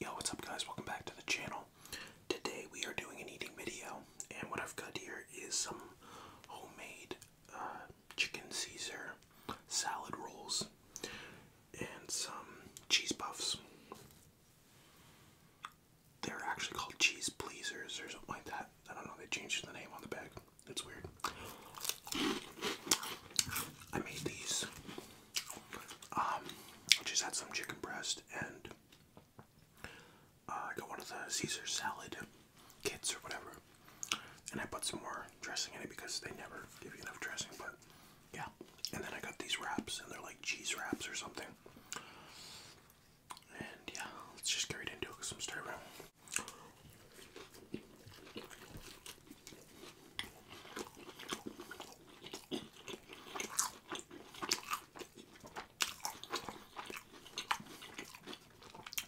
Yo, what's up guys? Welcome back to the channel. Today we are doing an eating video and what I've got here is some homemade uh, chicken Caesar salad rolls and some cheese puffs. They're actually called cheese pleasers or something like that. I don't know, they changed the name on the bag. That's weird. I made these um, I just had some chicken breast and uh, I got one of the Caesar salad kits or whatever, and I put some more dressing in it because they never give you enough dressing. But yeah, and then I got these wraps and they're like cheese wraps or something. And yeah, let's just get right into it because I'm starving.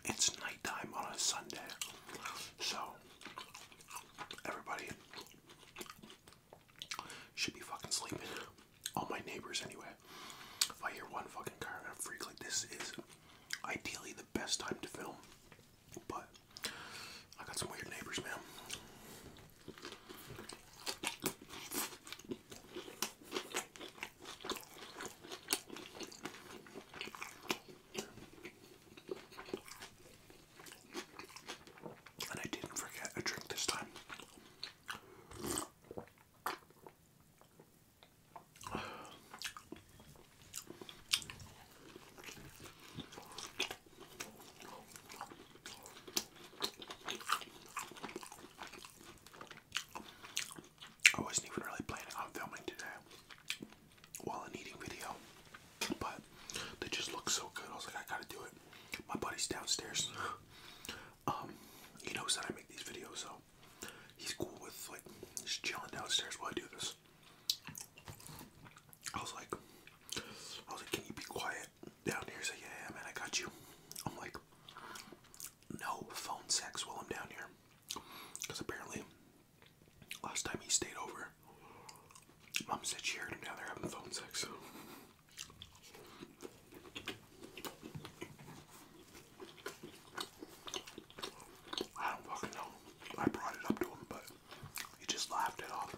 It's nighttime on a Sunday, so everybody should be fucking sleeping. All my neighbors, anyway. If I hear one fucking car and I'm freak like this, is ideally the best time to film, but I got some weird neighbors, ma'am, And I didn't forget a drink this time. I wasn't even really planning on filming today while an eating video, but they just look so good. I was like, I gotta do it. My buddy's downstairs. Um, he knows that I make these videos, so he's cool with like just chilling downstairs while I do this. I was like, I was like, can you be quiet down here? So yeah, man, I got you. I'm like, no phone sex while I'm down here, because apparently last time he stayed over, mom said she heard him Now they're having phone sex. So. I don't fucking know. I brought it up to him, but he just laughed it off.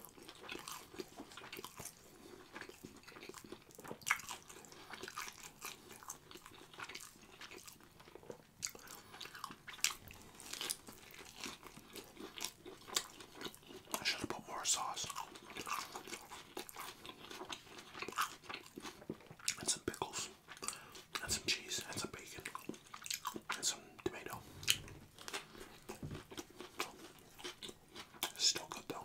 I should have put more sauce and some pickles and some cheese and some bacon and some tomato. It's still good though.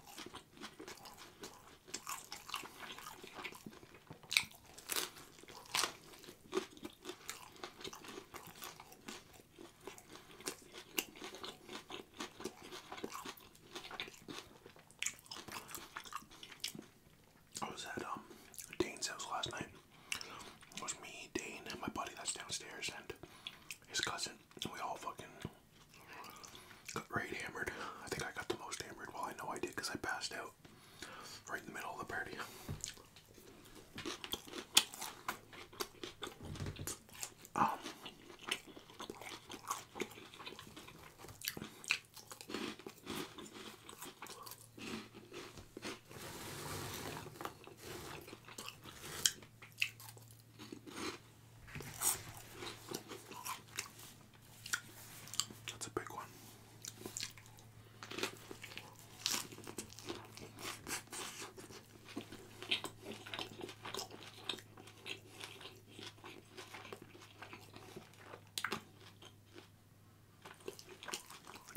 I was at um Dane's house last night. It was me, Dane, and my buddy that's downstairs, and his cousin. We all fucking got right hammered. I think I got the most hammered. Well, I know I did because I passed out right in the middle of the party. Um, that's a big one.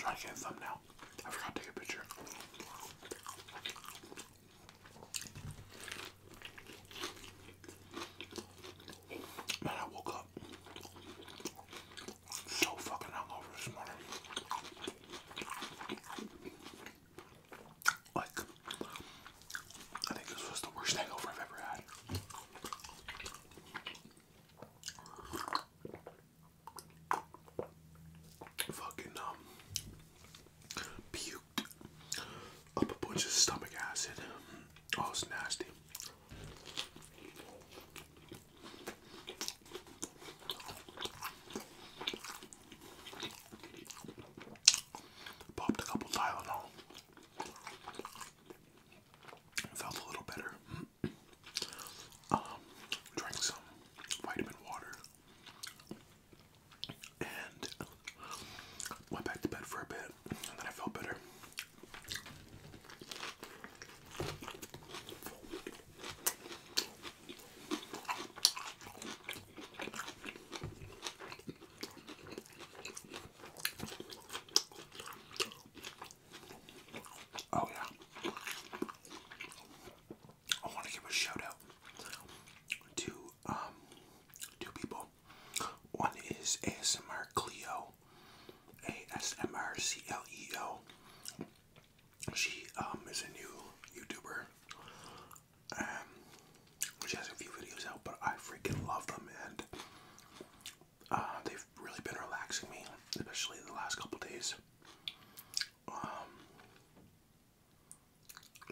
i to get a thumbnail. I forgot to take a picture. Man, I woke up so fucking hungover this morning. Like, I think this was the worst hangover I've ever had fucking um puked up a bunch of stomach acid. Oh, it's nasty. Popped a couple Tylenol. Felt a little better. Um, drank some vitamin water and went back to bed for a bit, and then I felt better. Oh yeah. I want to give a shout out to um, two people. One is ASMR Cleo, ASMR C L E O. She um, is a new YouTuber. Um, she has a few videos out, but I freaking love them, and uh, they've really been relaxing me, especially the last couple days. Um,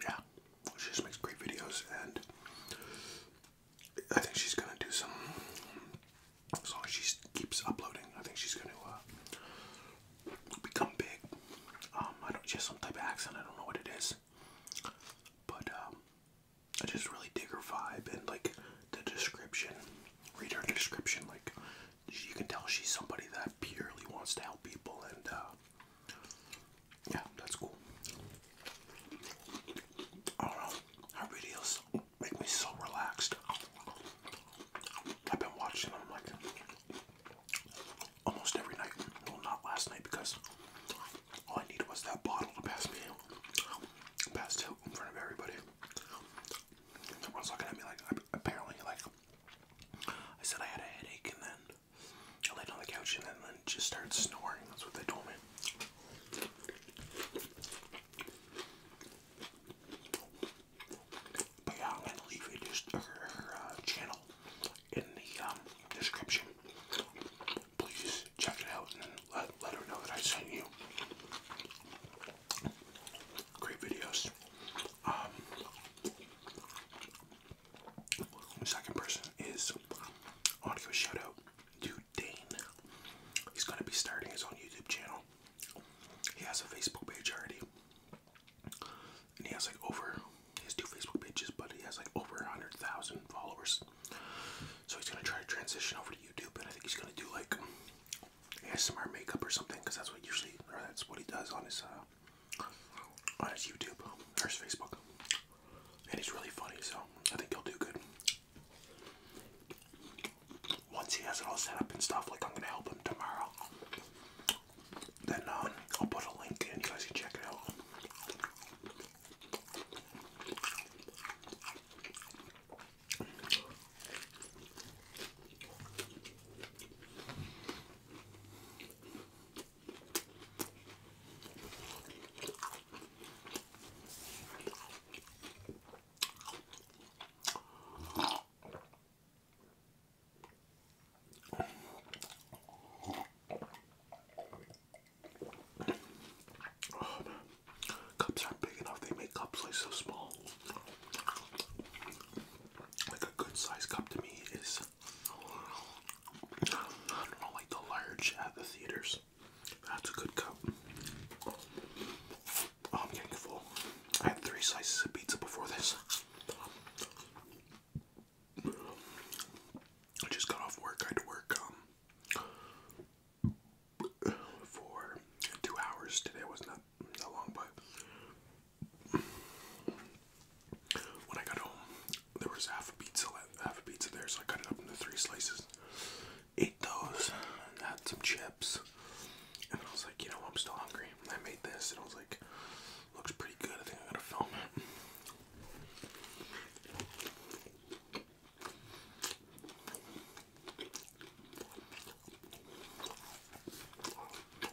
yeah, she just makes great videos, and I think she's gonna do some. As she keeps uploading, I think she's gonna uh, become big. Um, I don't just some type of accent. I don't know what it is, but um, I just really dig her vibe and like the description. Read her description, like she can tell she's somebody that purely wants to help people, and uh, yeah, that's cool. I don't know. Her videos make me so relaxed. I've been watching them like almost every night. Well, not last night because all I needed was that bottle to pass me passed out in front of everybody. Everyone's looking at me like apparently like I said I had a headache, and then I laid on the couch, and then, just started snoring. That's what they told me. But I'm gonna leave her, uh, channel in the um, description. Please check it out and let, her know that I sent you. Great videos. Um, the second person is I want to give a shout out to Dane. He's gonna be starting his own YouTube channel. He has a Facebook page already. And he has like over his two Facebook pages, but he has like over a hundred thousand followers. So he's gonna try to transition over to YouTube and I think he's gonna do like ASMR makeup or something because that's what usually or that's what he does on his uh, on his YouTube or Facebook, and he's really funny. So I think he'll do good. Once he has it all set up and stuff, like I'm gonna help him tomorrow. Then um, I'll put a link in. You guys can check it out. Oh man, cups aren't big enough. They make cups like so small like a good size cup to me is I don't know, like the large at the theaters. That's a good cup. Oh, I'm getting full. I had three slices of pizza before this. I just got off work. I had to work um for two hours today. Wasn't not long, but when I got home, there was half a pizza, half a pizza there, so I cut it up into three slices, ate those, and had some chips, and I was like, you know, I'm still hungry. I made this, and I was like, looks pretty good. I think I'm gonna film it.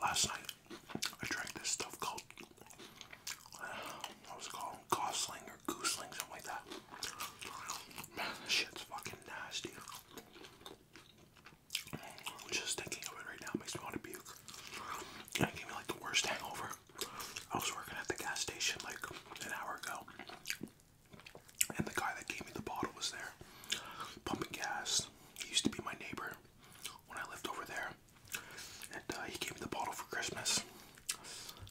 Last night, I drank this stuff called, uh, was it Gosling or Goosling, something like that. shit's fucking nasty. Just thinking of it right now makes me want to puke. It gave me like the worst hangover. I was working at the gas station like an hour ago, and the guy that gave me the bottle was there, pumping gas. He used to be my neighbor when I lived over there, and uh, he gave me the bottle for Christmas.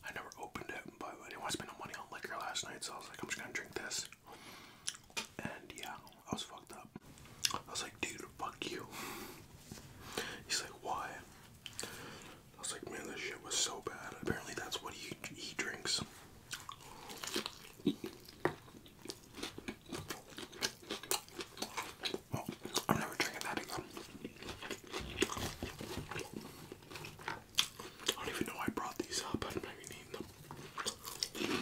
I never opened it, but I didn't want to spend no money on liquor last night, so I was like, I'm just gonna drink this. And yeah, I was fucked up. I was like, dude, fuck you. He's like, why? I was like, man, this shit was so bad. Apparently, that's what he he drinks. I'm never drinking that again. I don't even know I brought these up. I don't even them.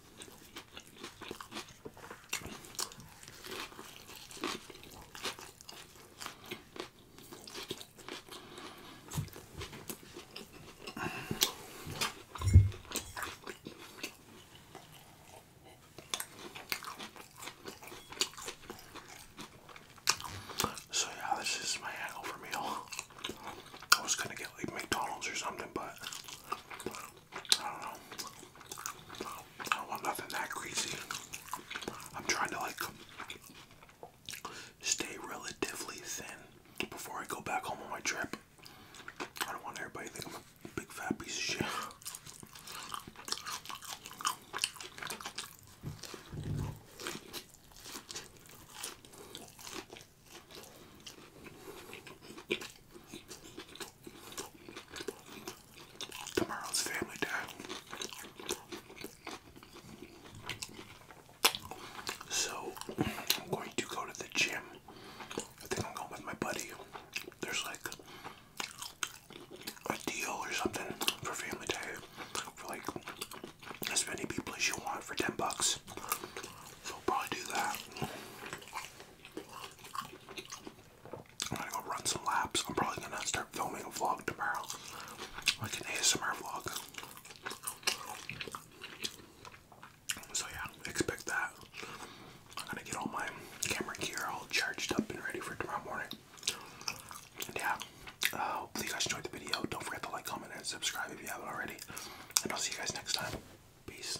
So yeah, this is my hangover meal. I was gonna get like McDonald's or something, but I don't want nothing that greasy. I'm trying to like stay relatively thin before I go back home on my trip. I don't want everybody to think I'm a big fat piece of shit. Tomorrow's family day. So I'm going to go to the gym. I think I'm going with my buddy. There's like a deal or something for family day for like as many people as you want for 10 bucks. So I'll probably do that. I'm gonna go run some laps. I'm probably gonna start filming a vlog tomorrow, like an ASMR vlog. So yeah, expect that. I'm gonna get all my camera gear all charged up and ready for tomorrow morning. yeah, uh, hopefully you guys enjoyed the video. Don't forget to like, comment, and subscribe if you haven't already. And I'll see you guys next time. Peace.